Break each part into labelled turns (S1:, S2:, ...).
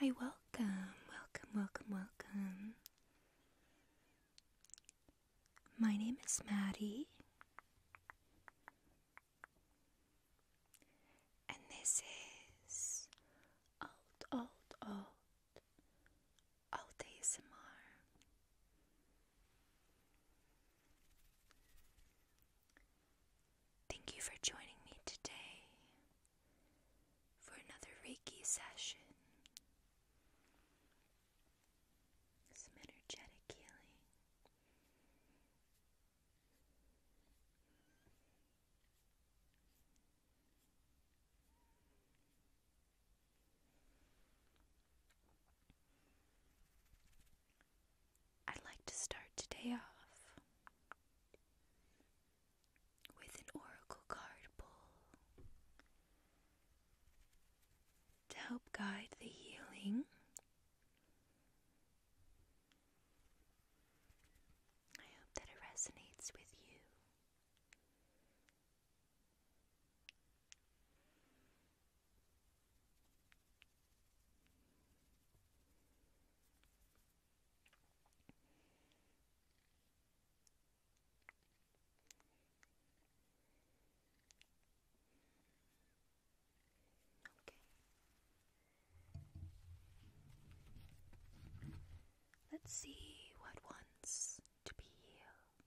S1: Hi, welcome, welcome, welcome, welcome. My name is Maddie, and this is Alt, Alt, Alt, Alt ASMR. Thank you for joining me today for another Reiki session. Some energetic healing. I'd like to start today off with an oracle card pull to help guide the healing. I hope that it resonates with you. Let's see what wants to be healed.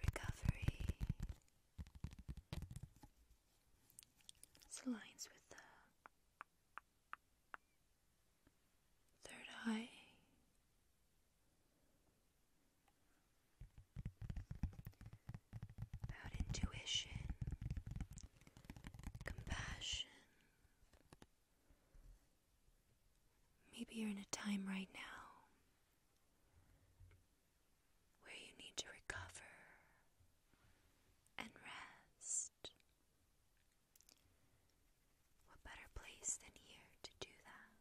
S1: Recovery it's aligns with the third eye. About intuition, compassion, Maybe you're in a time right now where you need to recover and rest. What better place than here to do that?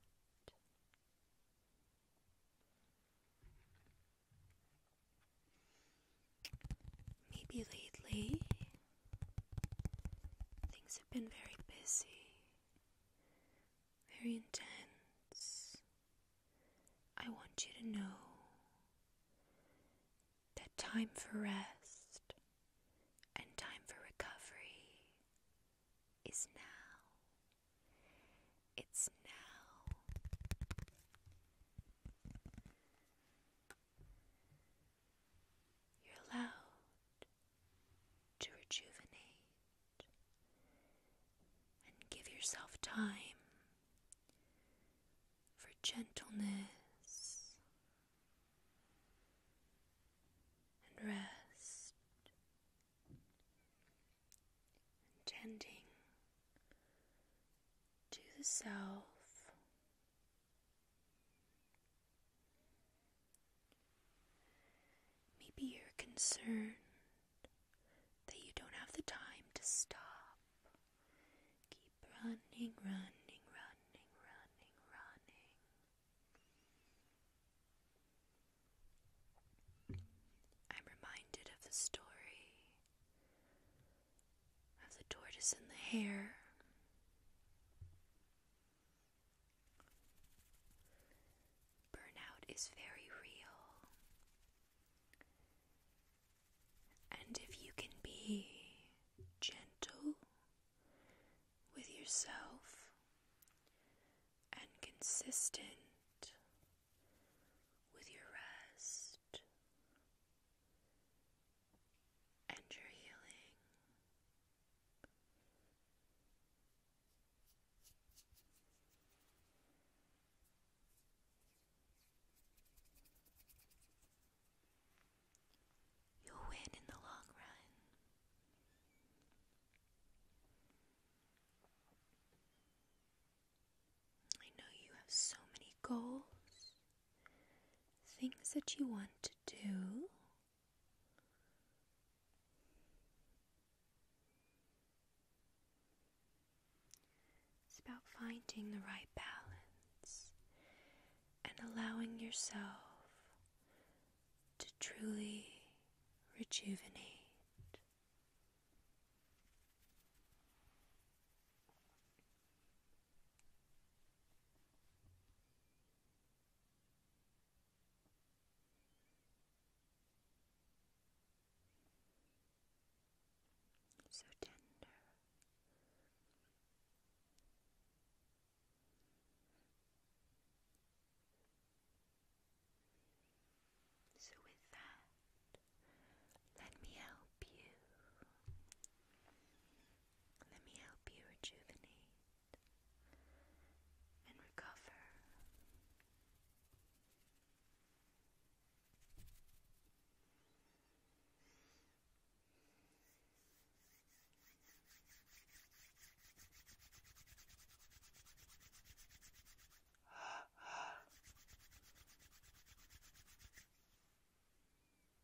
S1: Maybe lately Things have been very busy, very intense. I want you to know that time for rest and time for recovery is now. It's now. You're allowed to rejuvenate and give yourself time for gentleness and rest and tending to the self Maybe you're that you don't have the time to stop. Keep running, running, running, running, running. I'm reminded of the story of the tortoise and the hare. Burnout is very real. And if you can be gentle with yourself and consistent with your rest, and your healing. You'll win in the long run. I know you have so many goals things that you want to do. It's about finding the right balance and allowing yourself to truly rejuvenate. So tender. So, with that, let me help you. Let me help you rejuvenate and recover.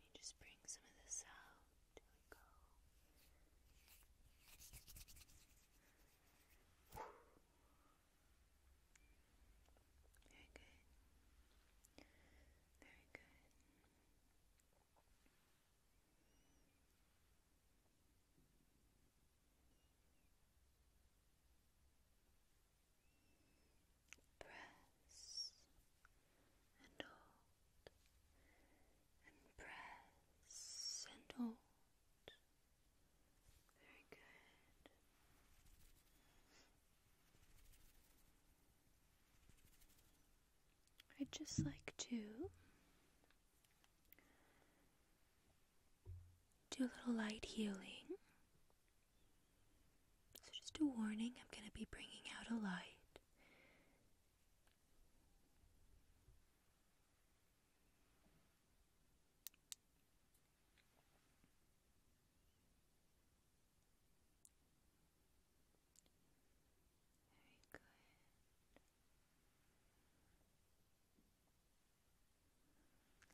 S1: Let me just bring some of this out. There we go. Very good. Very good. Press and hold and press and hold. Very good. I'd just like to do a little light healing. So, just a warning I'm going to be bringing out a light.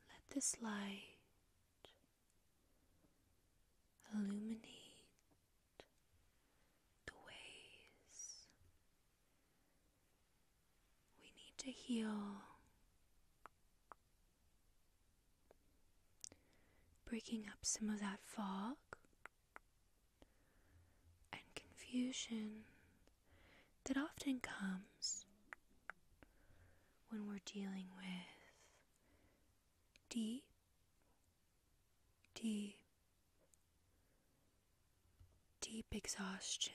S1: Let this light illuminate the ways we need to heal, breaking up some of that fog and confusion that often comes when we're dealing with deep, deep, deep exhaustion.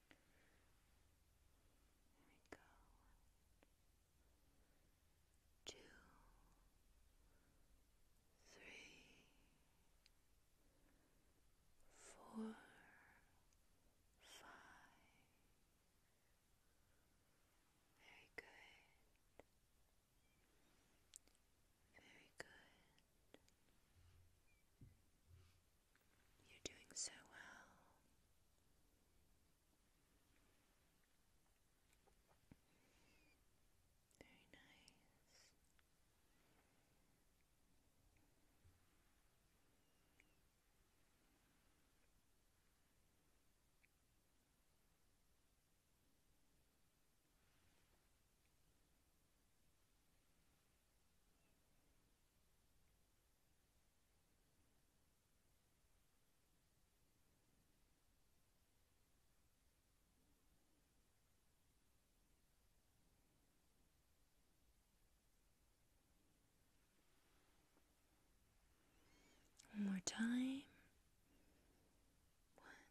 S1: There we One, two, three, four, five. Very good. Very good. You're doing so well. Very nice. One more time. One,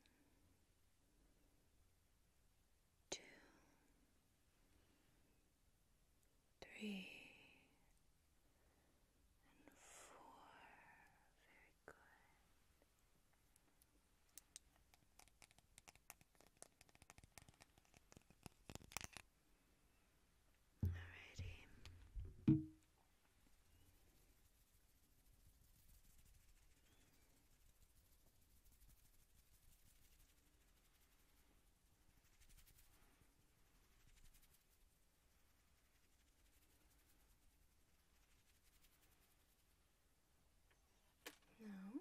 S1: two, three, and four. Very good. Alrighty. Now,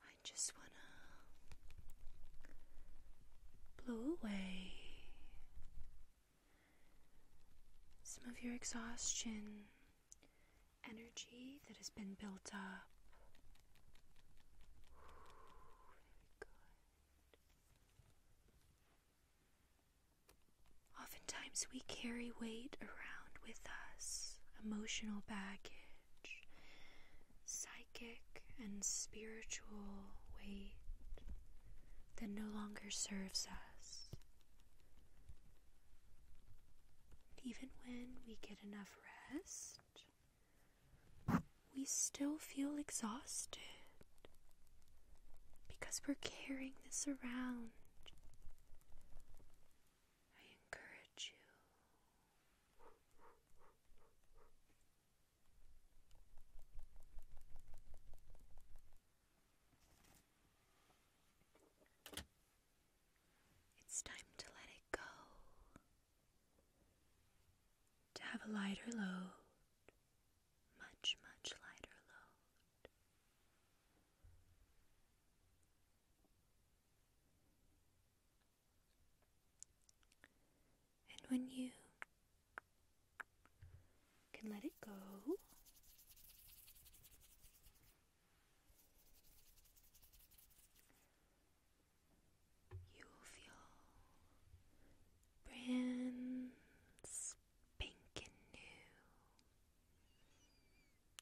S1: I just want to blow away some of your exhaustion, energy that has been built up. Oftentimes, we carry weight around with us, emotional baggage, psychic and spiritual weight that no longer serves us. Even when we get enough rest, we still feel exhausted because we're carrying this around. I encourage you. It's time to let it go. To have a lighter load, much, much lighter load. And when you can let it go. You will feel brand spanking new.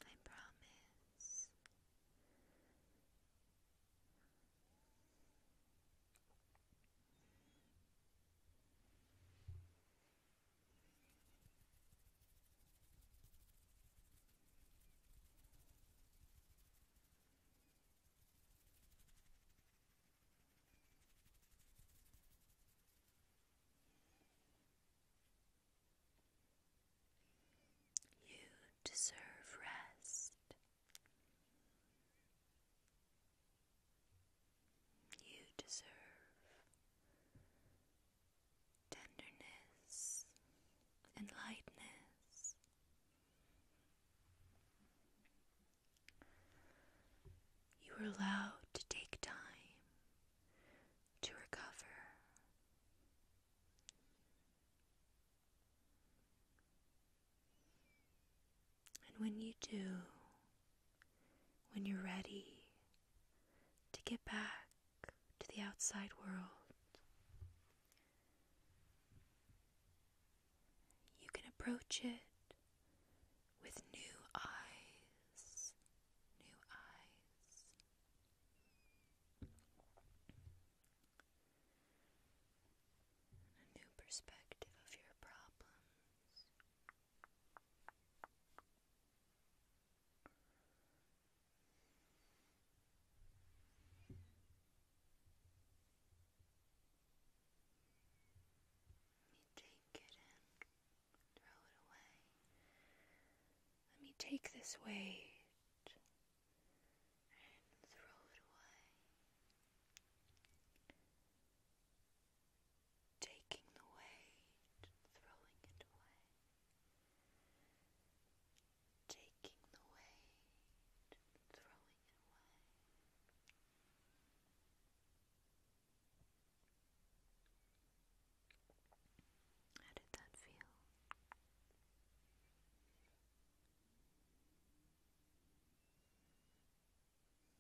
S1: I promise. You deserve rest. You deserve tenderness and lightness. You are allowed to take time to recover. And when you do, when you're ready to get back to the outside world. You can approach it with new eyes, new eyes. A new perspective of your problems. Let me take it and throw it away. Let me take this weight and throw it away taking the weight, throwing it away, taking the weight, throwing it away. How did that feel?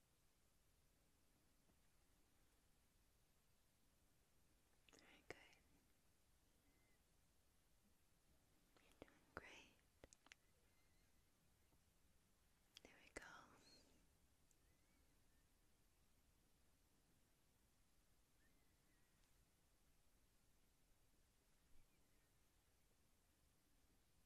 S1: Very good. You're doing great. There we go. Let's just here we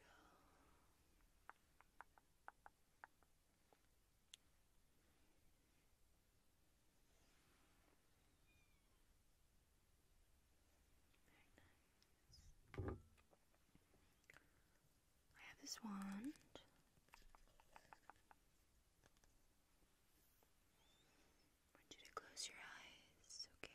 S1: go. I have this wand. want you to close your eyes, okay?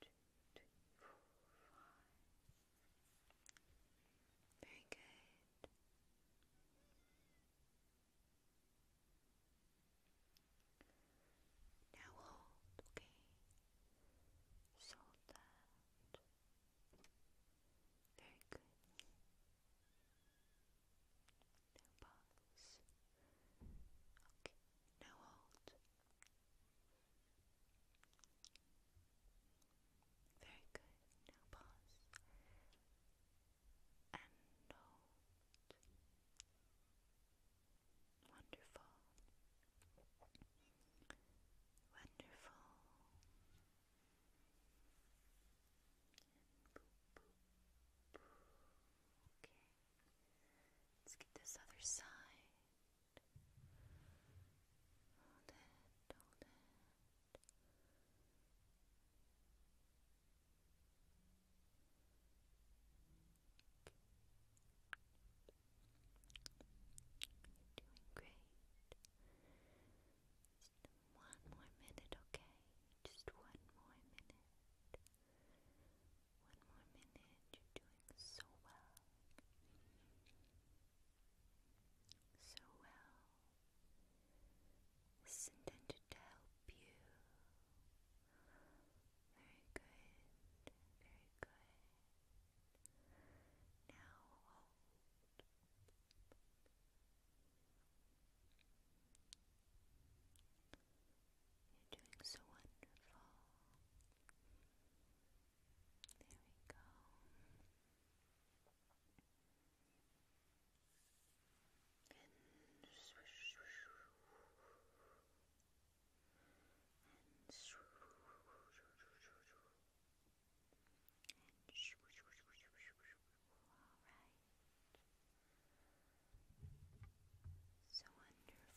S1: two, three, four, five. Very good. Now hold, okay? So that. Very good. Now pause. Okay, now hold. Very good. Now pause Wonderful. Wonderful. Let's get this other side. Hold it, hold it. you doing great. Just one more minute, okay? Just one more minute. One more minute. You're doing so well so well. intended to help you. Very good, very good. Now hold. You're doing so wonderful. There we go. And swish, swish, and swish, and swish, swish, swish, swish. All right. So wonderful.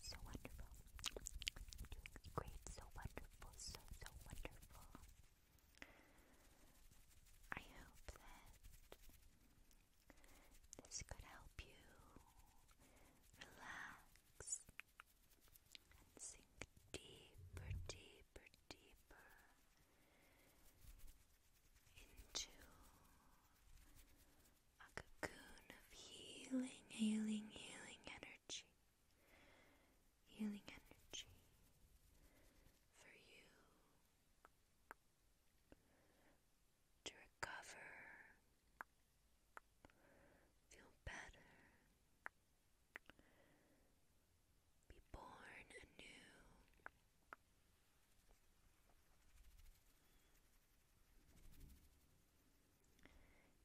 S1: So wonderful. Doing great, so wonderful, so, so wonderful. I hope that this could help you relax and sink deeper, deeper, deeper into a cocoon of healing, healing, healing energy. Healing energy for you to recover, feel better, be born anew.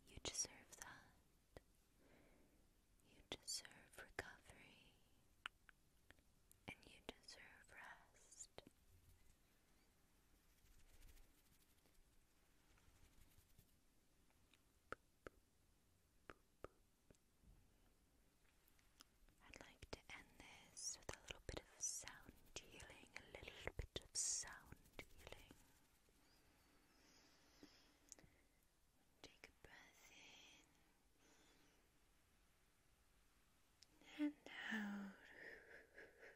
S1: You deserve that. You deserve recovery. And you deserve rest. I'd like to end this with a little bit of sound healing, a little bit of sound healing. Take a breath in and out. Very good, very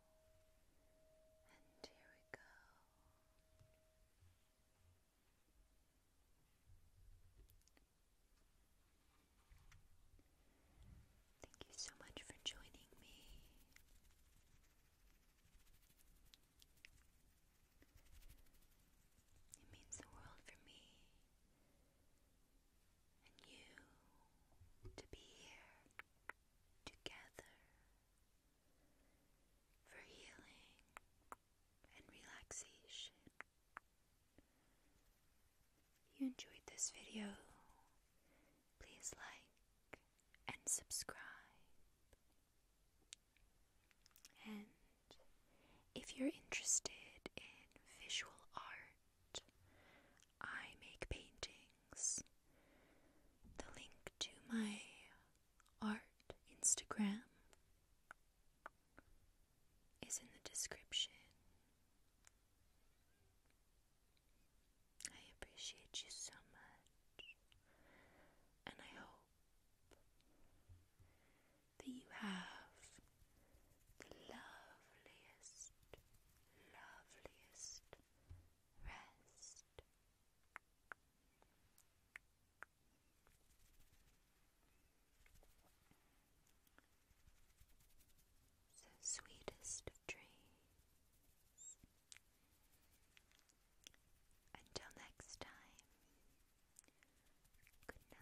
S1: And here we go. Thank you so much for joining me. It means the world for me and you to be here together for healing and relaxation. you enjoyed this video, please like and subscribe. And if you're interested in visual art, I make paintings. The link to my art Instagram is in the description. I appreciate you so much, and I hope that you have the loveliest, loveliest rest. So sweetest of dreams. Until next time, good night.